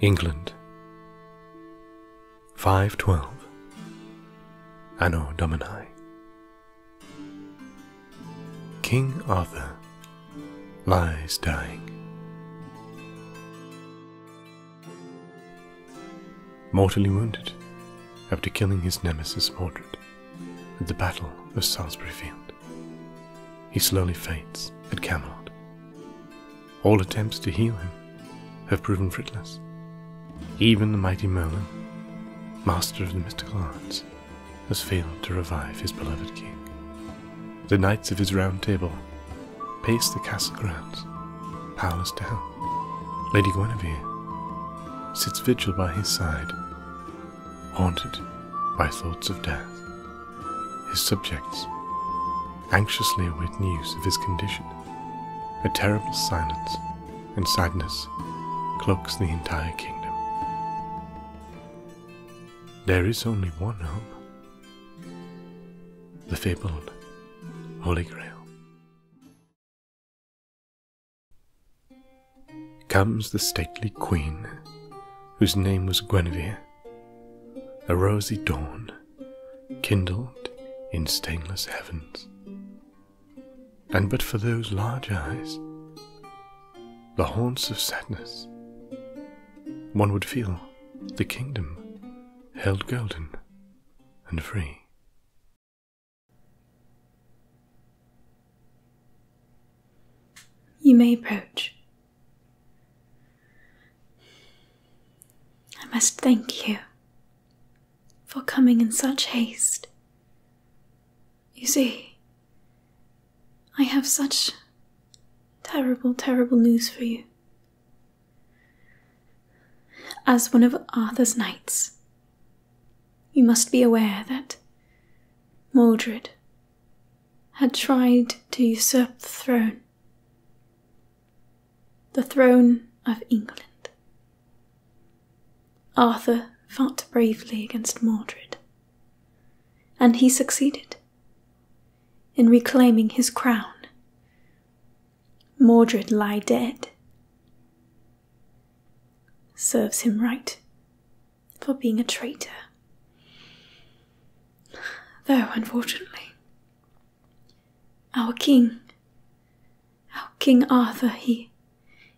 England, 512 Anno Domini. King Arthur lies dying. Mortally wounded after killing his nemesis Mordred at the Battle of Salisbury Field. He slowly fades at Camelot. All attempts to heal him have proven fruitless. Even the mighty Merlin, master of the mystical arts, has failed to revive his beloved king. The knights of his round table pace the castle grounds, powerless to help. Lady Guinevere sits vigil by his side, haunted by thoughts of death. His subjects anxiously await news of his condition. A terrible silence and sadness cloaks the entire kingdom. There is only one hope the fabled Holy Grail comes the stately queen, whose name was Guinevere. A rosy dawn, kindled in stainless heavens. And but for those large eyes, the haunts of sadness, one would feel the kingdom held golden and free. You may approach. I must thank you for coming in such haste. You see, I have such terrible, terrible news for you. As one of Arthur's knights, you must be aware that Mordred had tried to usurp the throne, the throne of England. Arthur fought bravely against Mordred, and he succeeded in reclaiming his crown. Mordred lie dead. Serves him right for being a traitor. Though, unfortunately, our king, our King Arthur, he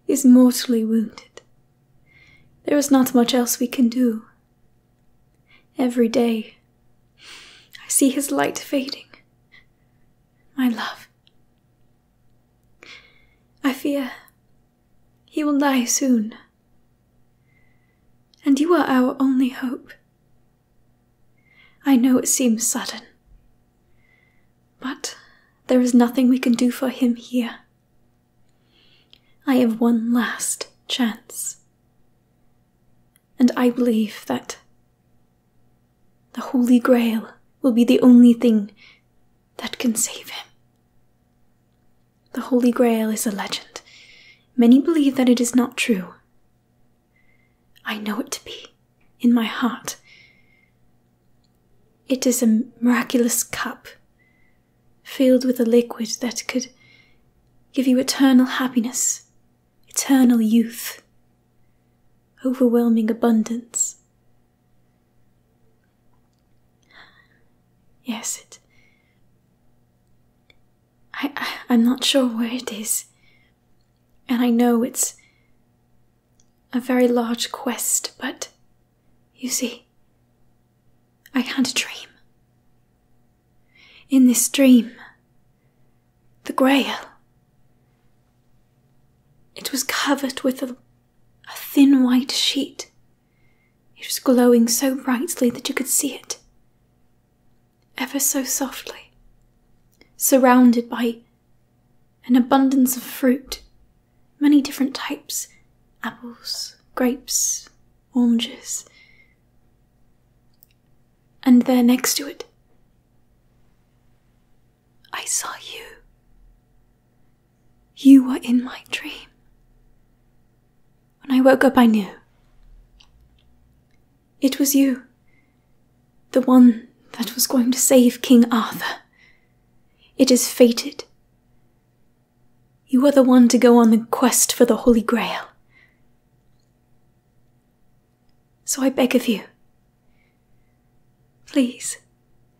is mortally wounded. There is not much else we can do. Every day, I see his light fading. My love, I fear he will die soon. And you are our only hope. I know it seems sudden, but there is nothing we can do for him here. I have one last chance, and I believe that the Holy Grail will be the only thing that can save him. The Holy Grail is a legend. Many believe that it is not true. I know it to be, in my heart. It is a miraculous cup filled with a liquid that could give you eternal happiness, eternal youth, overwhelming abundance. Yes, it. I, I am not sure where it is, and I know it's a very large quest, but you see, I can't dream. In this dream, the Grail. It was covered with a a thin white sheet. It was glowing so brightly that you could see it. Ever so softly, surrounded by an abundance of fruit, many different types apples, grapes, oranges. And there next to it, I saw you. You were in my dream. When I woke up, I knew. It was you, the one that was going to save King Arthur. It is fated. You are the one to go on the quest for the Holy Grail. So I beg of you, please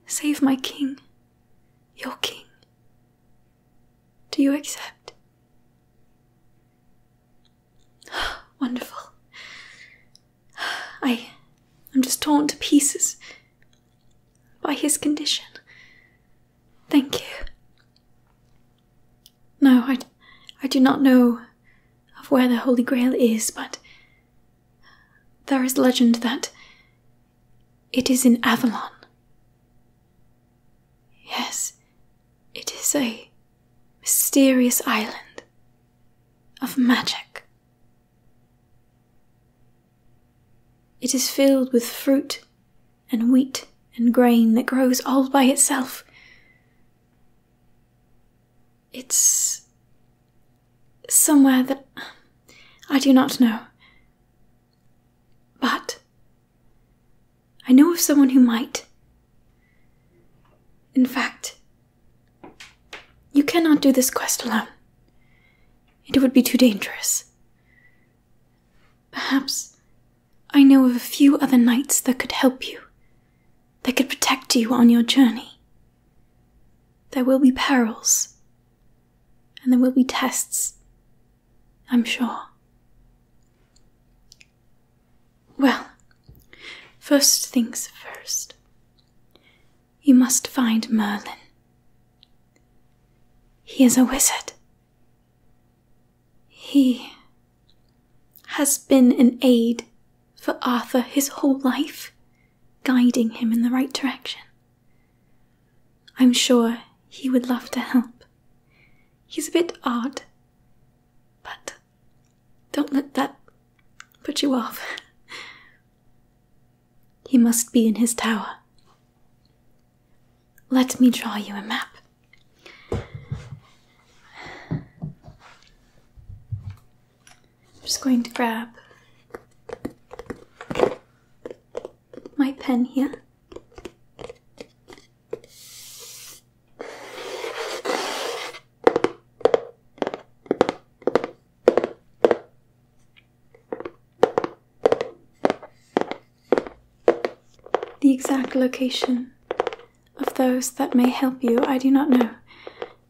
save my king your king. Do you accept? Wonderful. I am just torn to pieces by his condition. Thank you. No, I, I do not know of where the Holy Grail is, but there is legend that it is in Avalon. Yes, it is a mysterious island of magic. It is filled with fruit and wheat and grain that grows all by itself. It's somewhere that I do not know. But I know of someone who might. In fact, you cannot do this quest alone. It would be too dangerous. Perhaps I know of a few other knights that could help you, that could protect you on your journey. There will be perils, and there will be tests, I'm sure. Well, first things first. You must find Merlin. He is a wizard. He has been an aid for Arthur his whole life, guiding him in the right direction. I'm sure he would love to help. He's a bit odd, but don't let that put you off. he must be in his tower. Let me draw you a map. I'm just going to grab my pen here. The exact location of those that may help you, I do not know,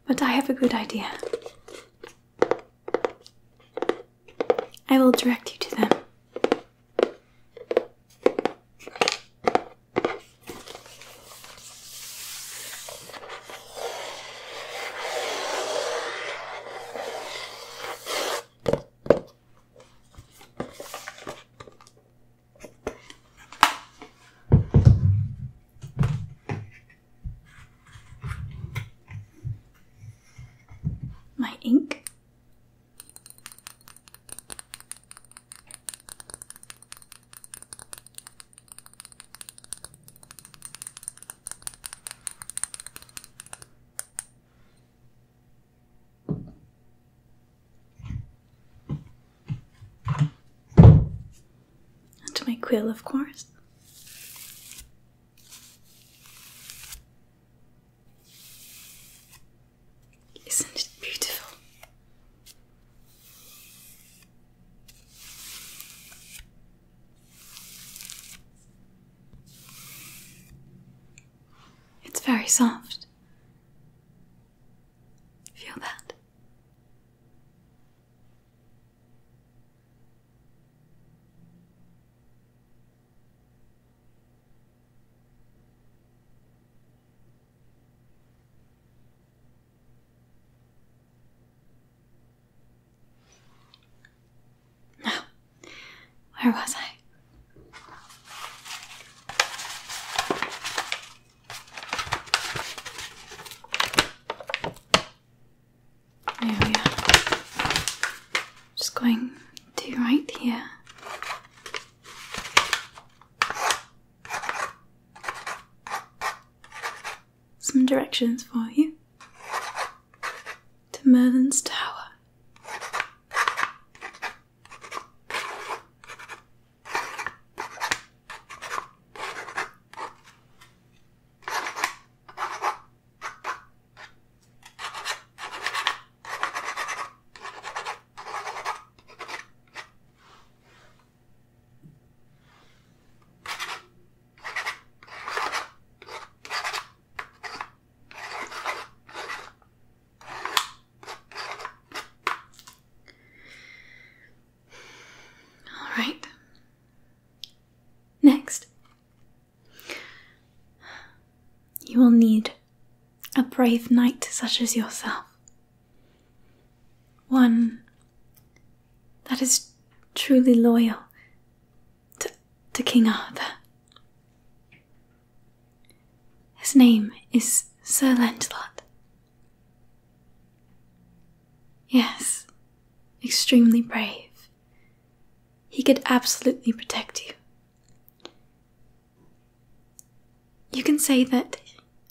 but I have a good idea. I will direct you to them my ink. And my quill, of course. Isn't it beautiful? It's very soft. Feel that. Now, where was I? Just going to right here. Some directions for you to Merlin's Tower. All right. Next, you will need a brave knight such as yourself. One that is truly loyal to, King Arthur. His name is Sir Lancelot. Yes, extremely brave. He could absolutely protect you. You can say that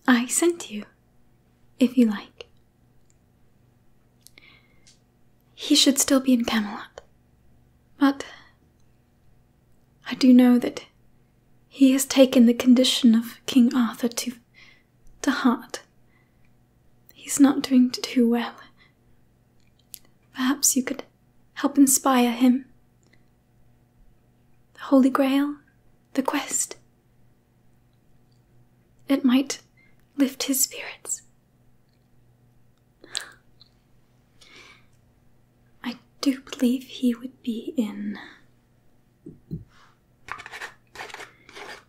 I sent you, if you like. He should still be in Camelot, but I do know that he has taken the condition of King Arthur to, to heart. He's not doing too well, Perhaps you could help inspire him. The Holy Grail, the quest. It might lift his spirits. I do believe he would be in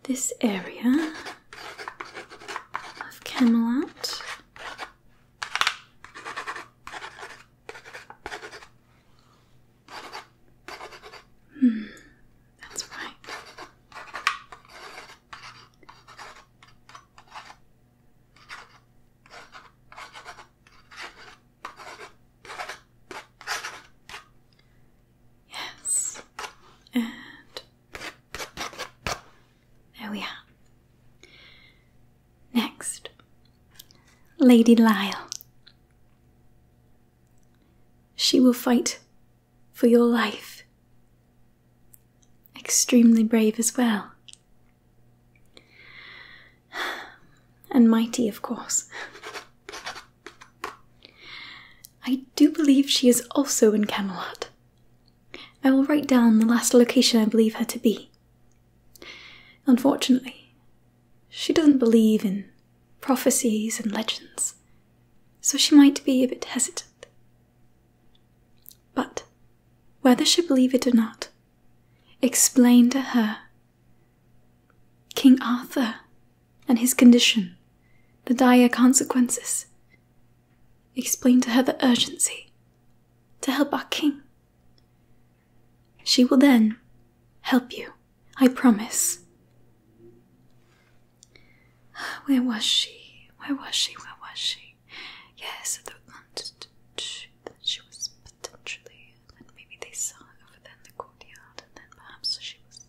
this area of Camelot. Hmm, that's right. Yes. And there we are. Next, Lady Lyle. She will fight for your life. Extremely brave as well. And mighty, of course. I do believe she is also in Camelot. I will write down the last location I believe her to be. Unfortunately, she doesn't believe in prophecies and legends, so she might be a bit hesitant. But whether she believes it or not, explain to her King Arthur and his condition, the dire consequences, Explain to her the urgency to help our king. She will then help you, I promise. Where was she? Where was she? Where was she? Yes, I thought she was potentially, and maybe they saw her over there in the courtyard, and then perhaps she was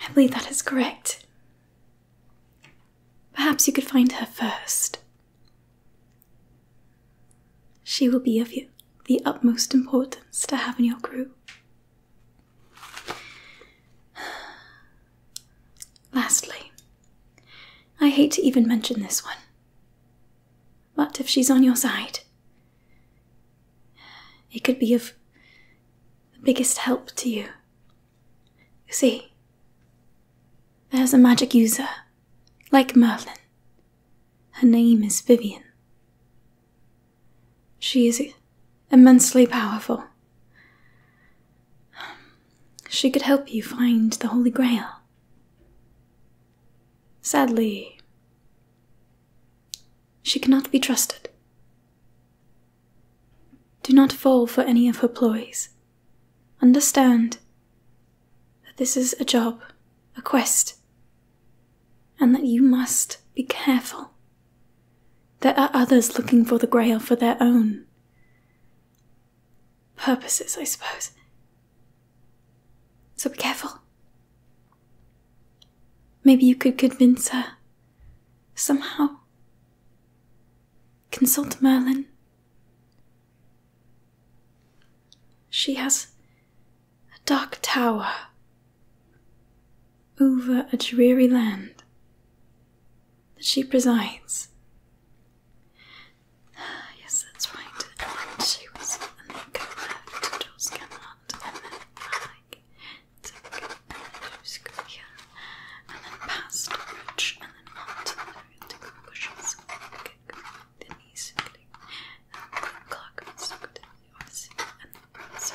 I believe that is correct. Perhaps you could find her first. She will be of you the utmost importance to have in your crew. Lastly, I hate to even mention this one. But if she's on your side, it could be of the biggest help to you. You see, there's a magic user, like Merlin. Her name is Vivian. She is immensely powerful. She could help you find the Holy Grail. Sadly, she cannot be trusted. Do not fall for any of her ploys. Understand that this is a job, a quest, and that you must be careful. There are others looking for the Grail for their own purposes, I suppose. So be careful. Maybe you could convince her somehow. Consult Merlin. She has a dark tower over a dreary land that she presides. Yes, that's right. she was, and then go to Jules Camelot, and then back, tick, and then and then past the and then up the tickle bushes, the knees, really, and then the clock was the office, and the professor,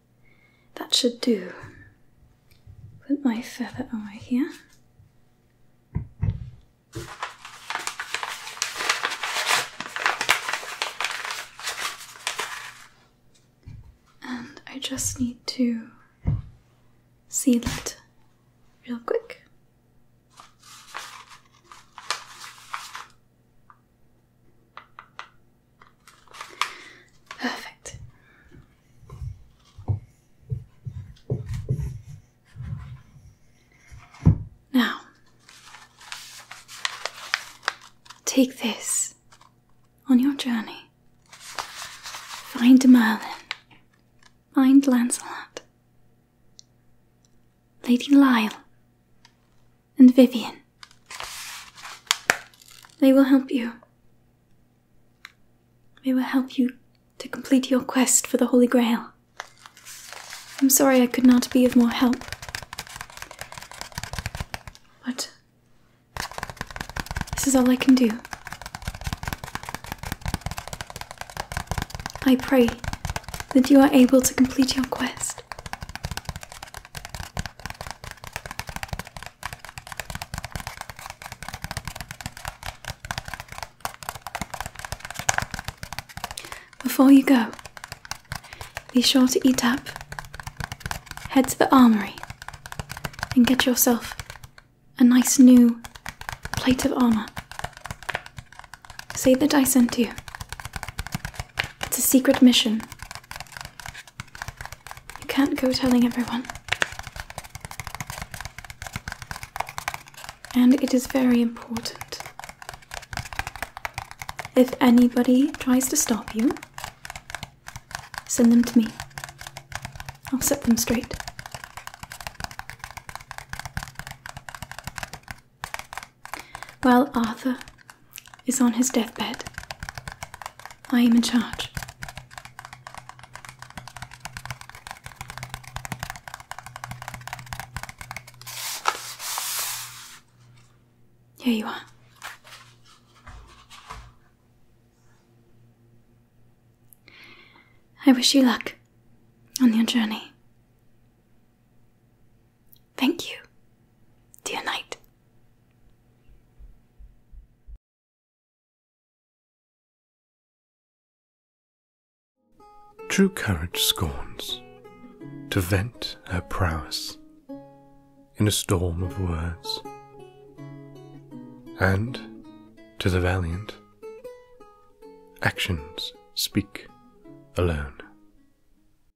That should do. Put my feather over here. And I just need to seal it real quick. Perfect. Now, take this on your journey. Find Merlin. Find Lancelot. Lady Lyle and Vivian. They will help you. They will help you to complete your quest for the Holy Grail. I'm sorry I could not be of more help. But this is all I can do. I pray that you are able to complete your quest. Before you go, be sure to eat up, head to the armory, and get yourself a nice new plate of armour. Say that I sent you. It's a secret mission. You can't go telling everyone. And it is very important. If anybody tries to stop you, send them to me. I'll set them straight. Well, Arthur is on his deathbed. I am in charge. Here you are. I wish you luck on your journey. Thank you. Dear knight. True courage scorns to vent her prowess in a storm of words, and to the valiant, actions speak alone.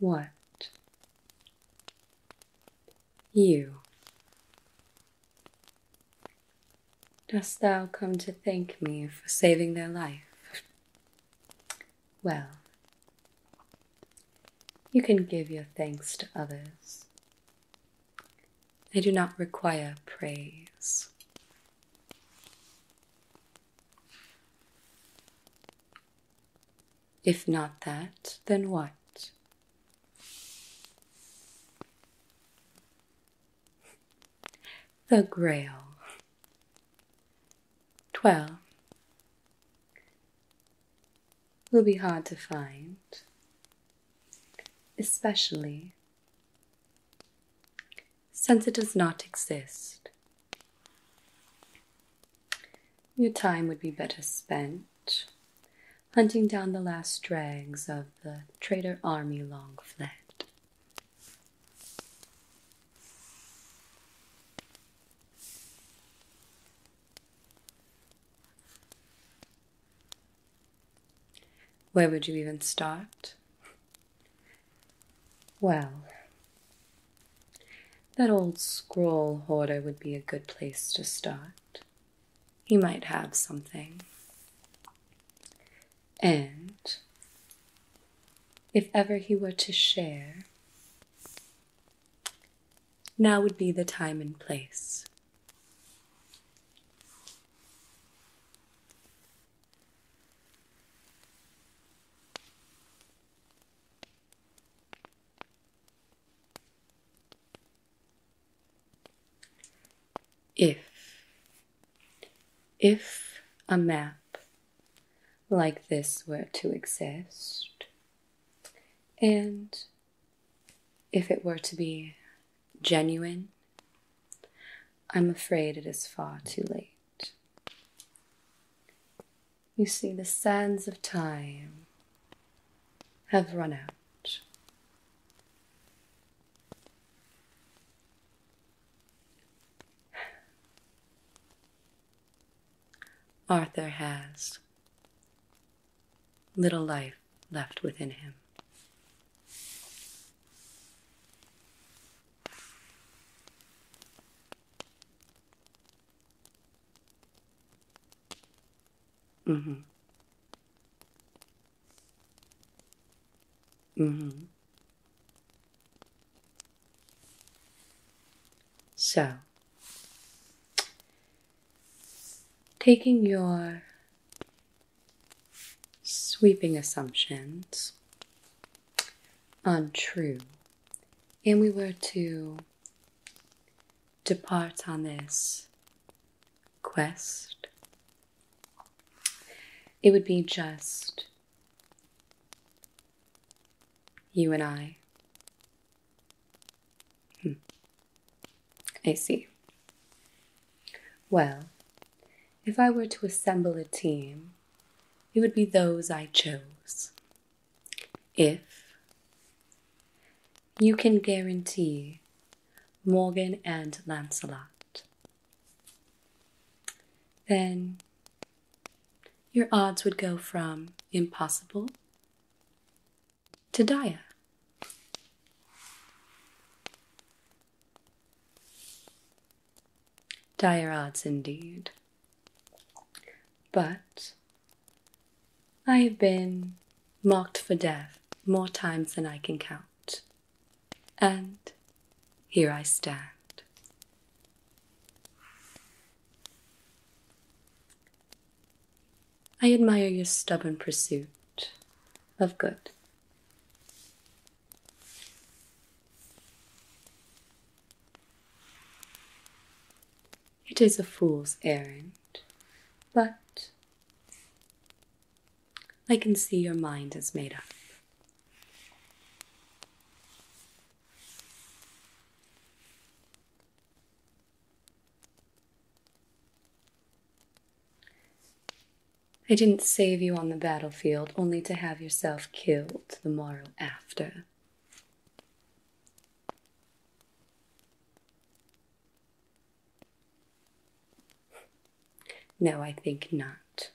What you Dost thou come to thank me for saving their life? Well, you can give your thanks to others. They do not require praise. If not that, then what? The Grail. Twelve. Will be hard to find, especially since it does not exist. Your time would be better spent hunting down the last drags of the traitor army long fled. Where would you even start? Well, that old scroll hoarder would be a good place to start. He might have something. And if ever he were to share, now would be the time and place. If, if a map like this were to exist, and if it were to be genuine, I'm afraid it is far too late. You see, the sands of time have run out. Arthur has little life left within him. Mm-hmm. Mm-hmm. So, taking your sweeping assumptions untrue, and we were to depart on this quest. It would be just you and I. Hmm. I see. Well, if I were to assemble a team, it would be those I chose. If you can guarantee Morgan and Lancelot, then your odds would go from impossible to dire. Dire odds indeed. But I have been marked for death more times than I can count, and here I stand. I admire your stubborn pursuit of good. It is a fool's errand, but I can see your mind is made up. I didn't save you on the battlefield only to have yourself killed the morrow after. No, I think not.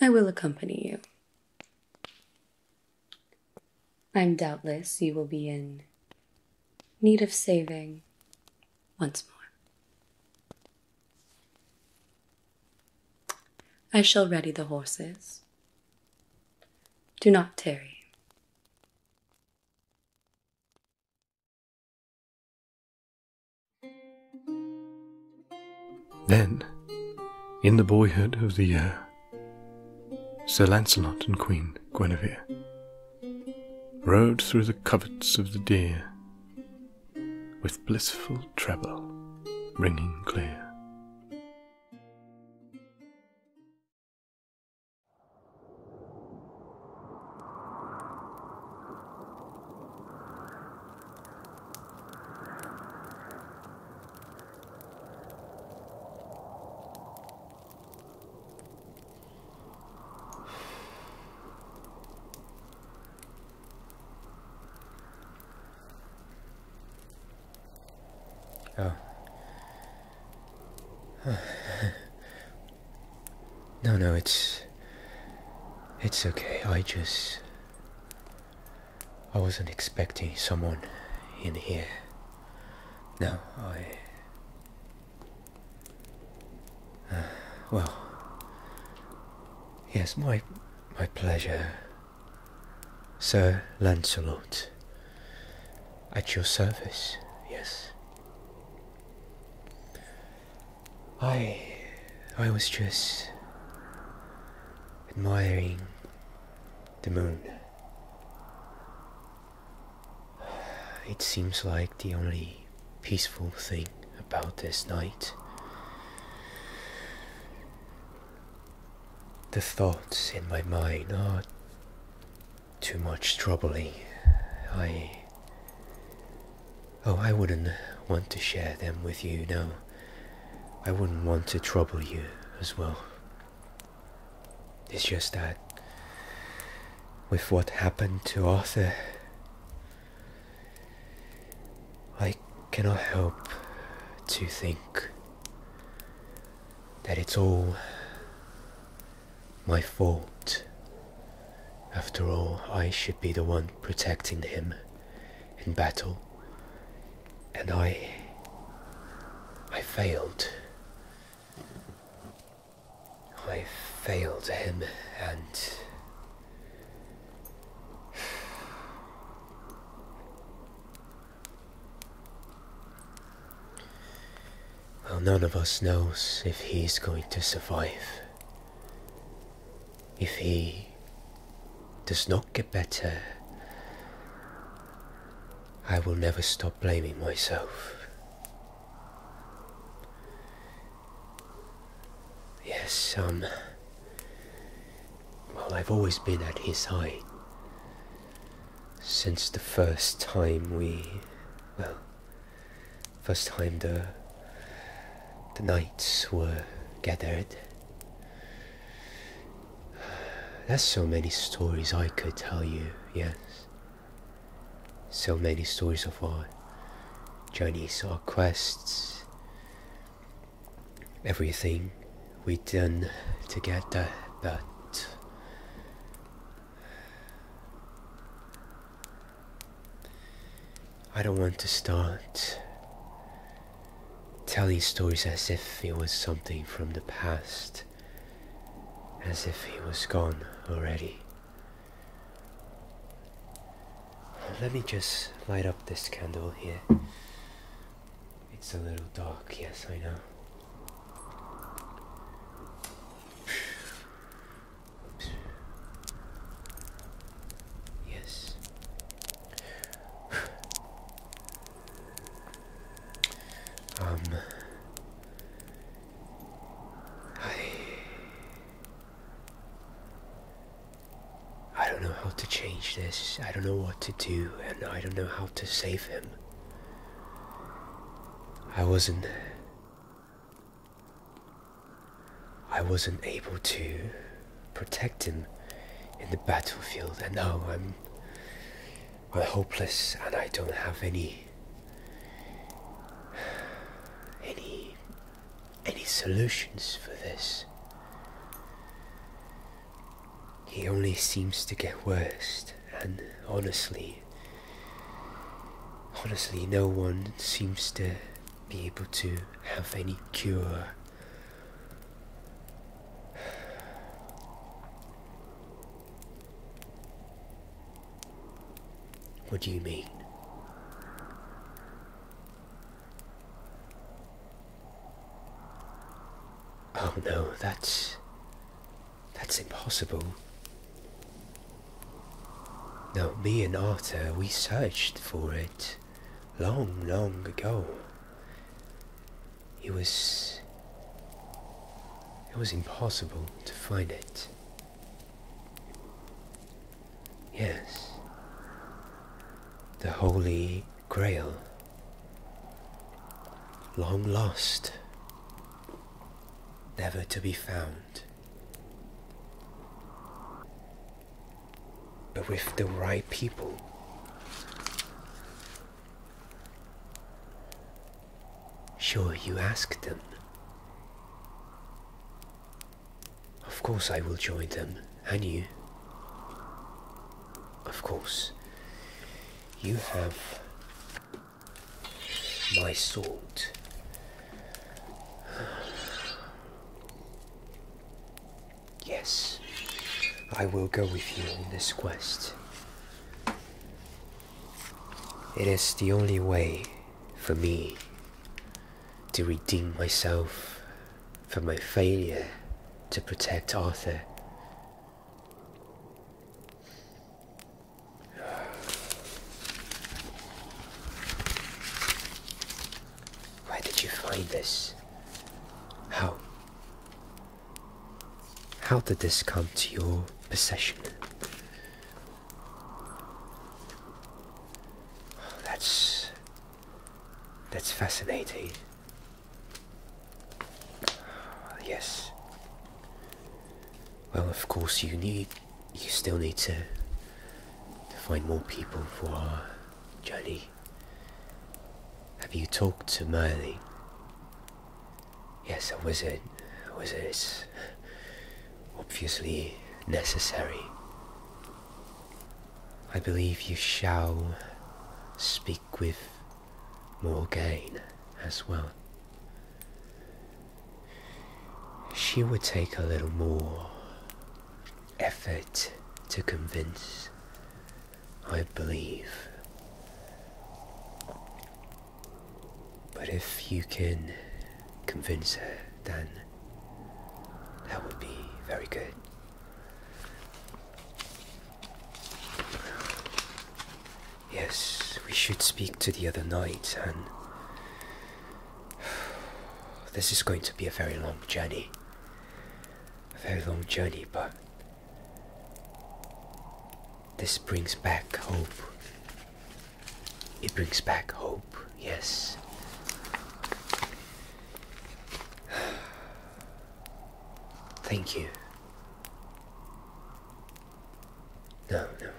I will accompany you. I'm doubtless you will be in need of saving once more. I shall ready the horses. Do not tarry. Then, in the boyhood of the year, Sir Launcelot and Queen Guinevere rode through the coverts of the deer with blissful treble ringing clear. Oh. no, no, it's... It's okay, I just... I wasn't expecting someone in here. No, I... well... Yes, my my pleasure, Sir Lancelot. At your service, yes. I. I was just. admiring the moon. It seems like the only peaceful thing about this night. The thoughts in my mind are too much troubling. I. Oh, I wouldn't want to share them with you, no. I wouldn't want to trouble you as well. It's just that with what happened to Arthur, I cannot help to think that it's all my fault. After all, I should be the one protecting him in battle. And I. I failed. I failed him and well, none of us knows if he is going to survive. If he does not get better, I will never stop blaming myself. Yes, um. Well, I've always been at his side. Since the first time we. Well. First time the. The knights were gathered. There's so many stories I could tell you, yes. So many stories of our journeys, our quests, everything we done together, but I don't want to start telling stories as if it was something from the past, as if he was gone already. Let me just light up this candle here. It's a little dark, yes, I know. Yes. Um. I I don't know how to change this, I don't know what to do, and I don't know how to save him. I wasn't. I wasn't able to protect him in the battlefield, and now I'm. I'm hopeless, and I don't have any. any any solutions for this. He only seems to get worse, and honestly, honestly, no one seems to be able to have any cure. What do you mean? Oh no, that's. that's impossible. Now, me and Arthur, we searched for it long, long ago. It was. it was impossible to find it. Yes, the Holy Grail, long lost, never to be found. But with the right people, sure you ask them. Of course I will join them, and you. Of course. You have my sword. Yes, I will go with you on this quest. It is the only way for me to redeem myself for my failure to protect Arthur. Where did you find this? How? How did this come to your possession? That's that's fascinating. Yes. Well, of course, you need you still need to find more people for our journey. Have you talked to Merlin? Yes, a wizard. A wizard obviously necessary. I believe you shall speak with Morgaine as well. She would take a little more effort to convince, I believe. But if you can convince her, then that would be very good. Yes, we should speak to the other knight, and this is going to be a very long journey. A very long journey, but this brings back hope. It brings back hope, yes. Thank you. No, no.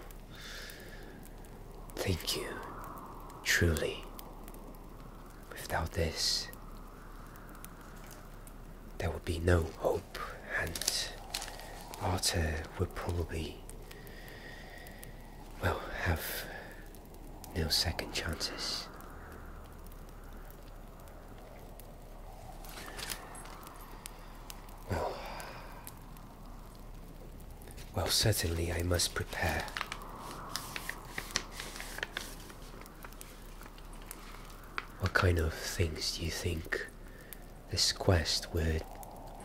Thank you. Truly. Without this, there would be no hope, and Arthur would probably, well, have no second chances. Well, well, certainly I must prepare. What kind of things do you think this quest would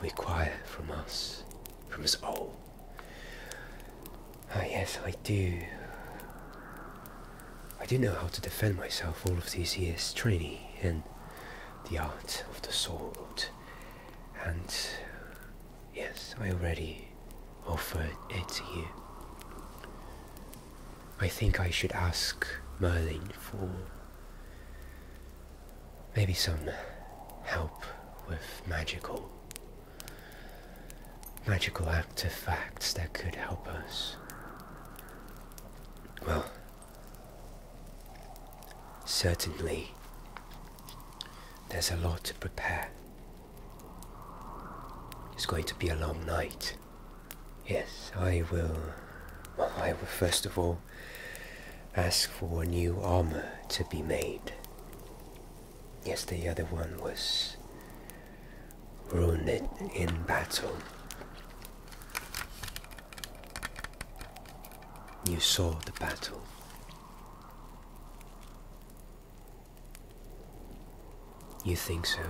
require from us, from us all? Ah, oh, yes, I do. I do know how to defend myself all of these years training in the art of the sword. And yes, I already offered it to you. I think I should ask Merlin for Maybe some help with magical magical artifacts that could help us. Well, certainly there's a lot to prepare. It's going to be a long night. Yes, I will. I will first of all ask for new armor to be made. Yes, the other one was wounded in battle. You saw the battle. You think so?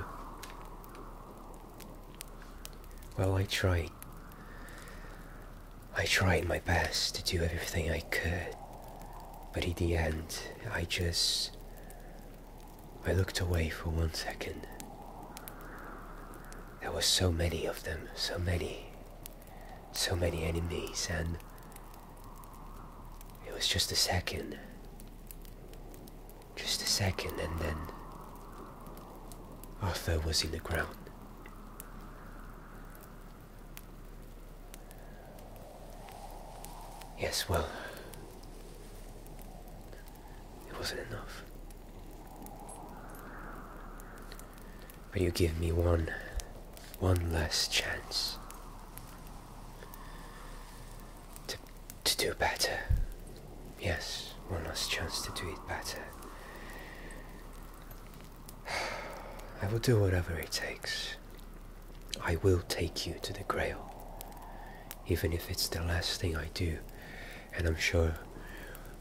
Well, I tried. I tried my best to do everything I could, but in the end, I just. I looked away for one second. There were so many of them, so many, so many enemies, and. It was just a second. Just a second, and then. Arthur was in the ground. Yes, well, it wasn't enough. But you give me one, one last chance to, to do better. Yes, one last chance to do it better. I will do whatever it takes. I will take you to the Grail, even if it's the last thing I do, and I'm sure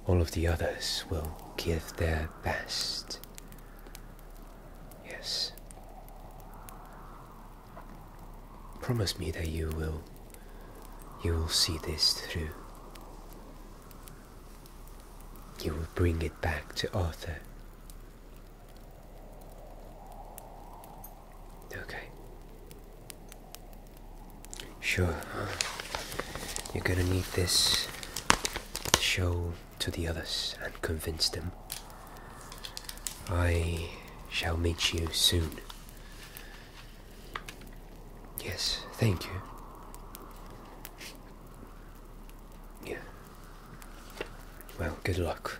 all of the others will give their best. Yes. Promise me that you will. You will see this through. You will bring it back to Arthur. Okay. Sure. You're gonna need this to show to the others and convince them. I shall meet you soon. Yes, thank you. Yeah. Well, good luck.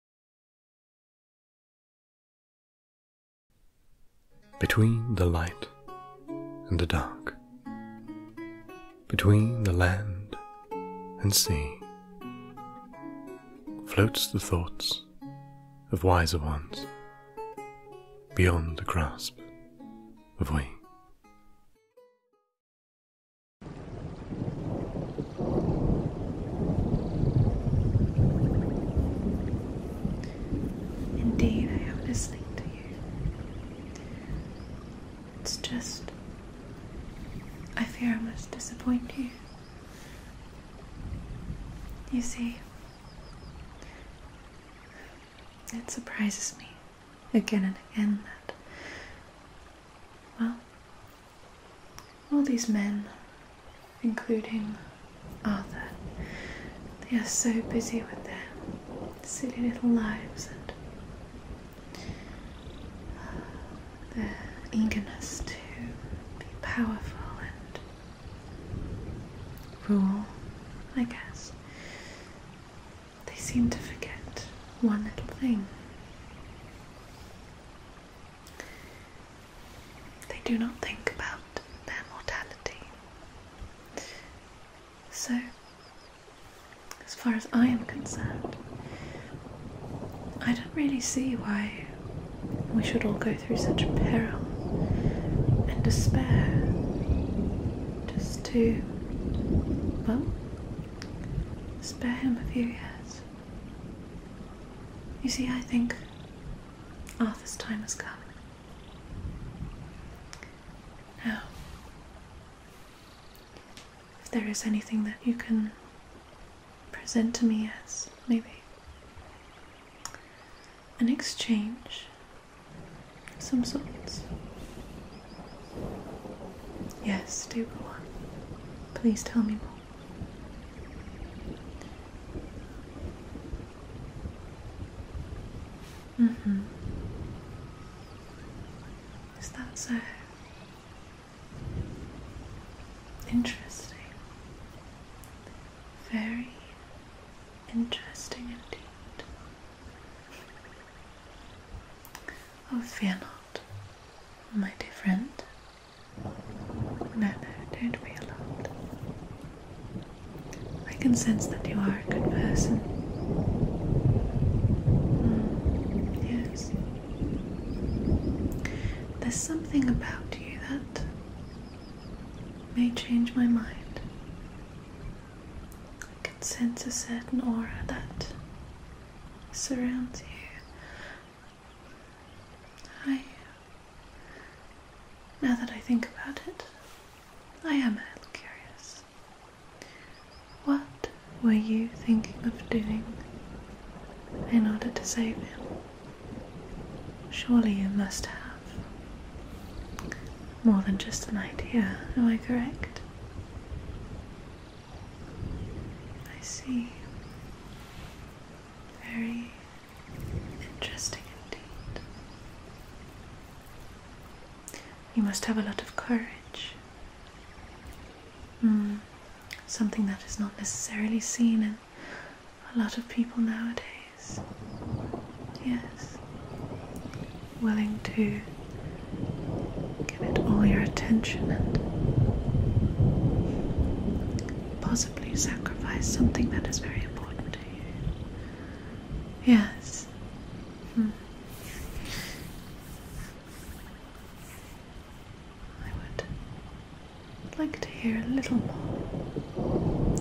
Between the light and the dark, between the land and sea, floats the thoughts of wiser ones beyond the grasp of we. Indeed, I am listening to you. It's just, I fear I must disappoint you. You see, it surprises me again and again that, well, all these men, including Arthur, they are so busy with their silly little lives and their eagerness to be powerful and rule, I guess. They seem to forget one little thing. They do not think about their mortality. So, as far as I am concerned, I don't really see why we should all go through such peril and despair just to, well, spare him a few years. You see, I think Arthur's ah, time has come. Now, oh. if there is anything that you can present to me as maybe an exchange of some sorts. Yes, do go Please tell me more. Mm hmm Is that so? Interesting. Very interesting indeed. Oh, fear not, my dear friend. No, no, don't be alarmed. I can sense that you are a good person. Hmm, yes. There's something about you that may change my mind. I can sense a certain aura that surrounds you. I. Now that I think about it, I am a little curious. What were you thinking of doing in order to save him? Surely you must have more than just an idea, am I correct? I see. Very Interesting indeed. You must have a lot of courage. Mm, something that is not necessarily seen in a lot of people nowadays. Yes. Willing to give it all your attention and possibly sacrifice something that is very important to you? Yes. Hmm. I would like to hear a little more,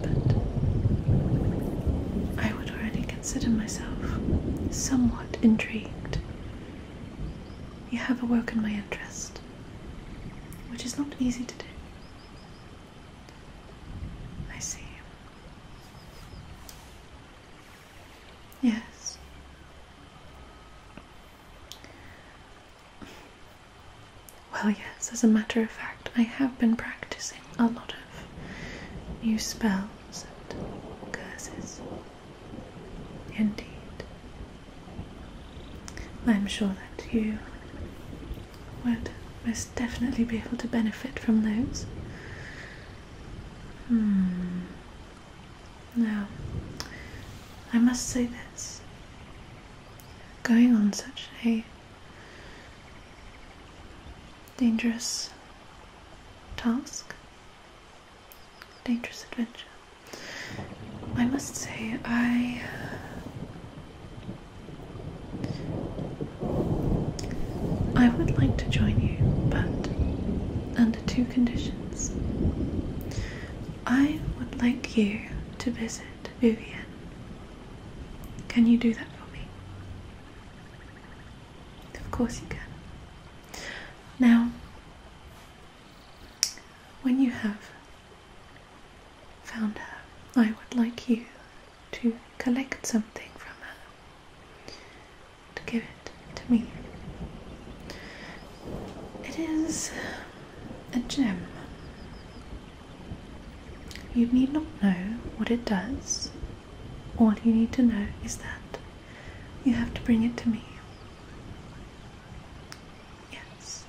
but I would already consider myself somewhat intrigued. You have awoken my interest which is not easy to do. I see. Yes. Well, yes, as a matter of fact, I have been practicing a lot of new spells and curses. Indeed. I'm sure that you would most definitely be able to benefit from those. Hmm. Now, I must say this. Going on such a dangerous task, dangerous adventure, I must say, I. I would like to join you, but under two conditions. I would like you to visit Vivian. Can you do that for me? Of course you can. Now, when you have found her, I would like you to collect something from her to give it to me. It is a gem. You need not know what it does. All you need to know is that you have to bring it to me. Yes.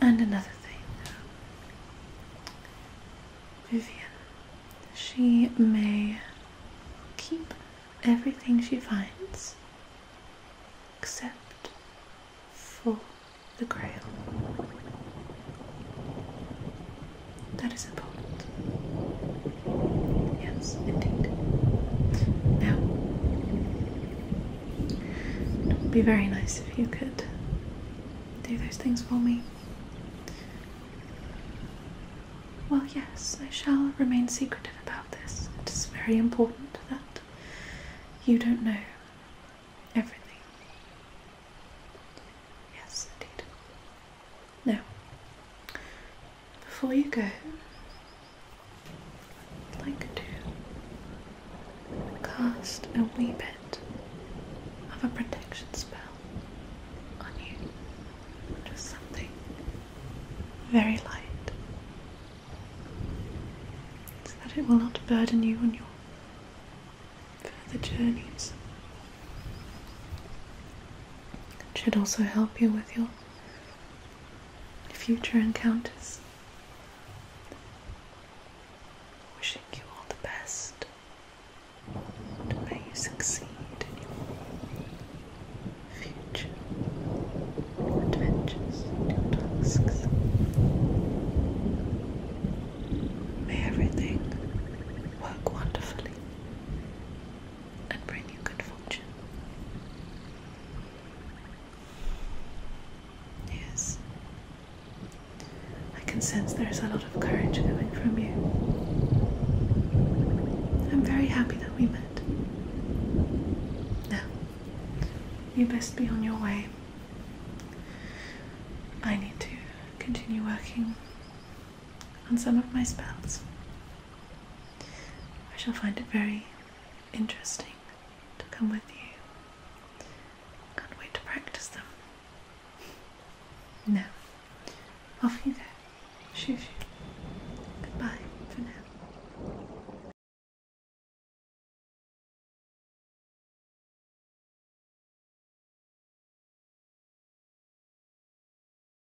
And another thing, Vivian, she may keep everything she finds except for the grail. That is important. Yes, indeed. Now, it would be very nice if you could do those things for me. Well, yes, I shall remain secretive about this. It is very important that you don't know everything. Yes, indeed. No, before you go, I'd like to cast a wee bit of a protection spell on you. Just something very light so that it will not burden you on your further journeys. It should also help you with your future encounters. Wishing you all the best may you succeed in your future adventures and tasks. May everything work wonderfully and bring you good fortune. Yes. I can sense there's a lot of courage coming from you. I'm very happy that we met. Now, you best be on your way. I need to continue working on some of my spells. I shall find it very interesting to come with you. Can't wait to practice them. Now, off you go. Shoo Goodbye for now.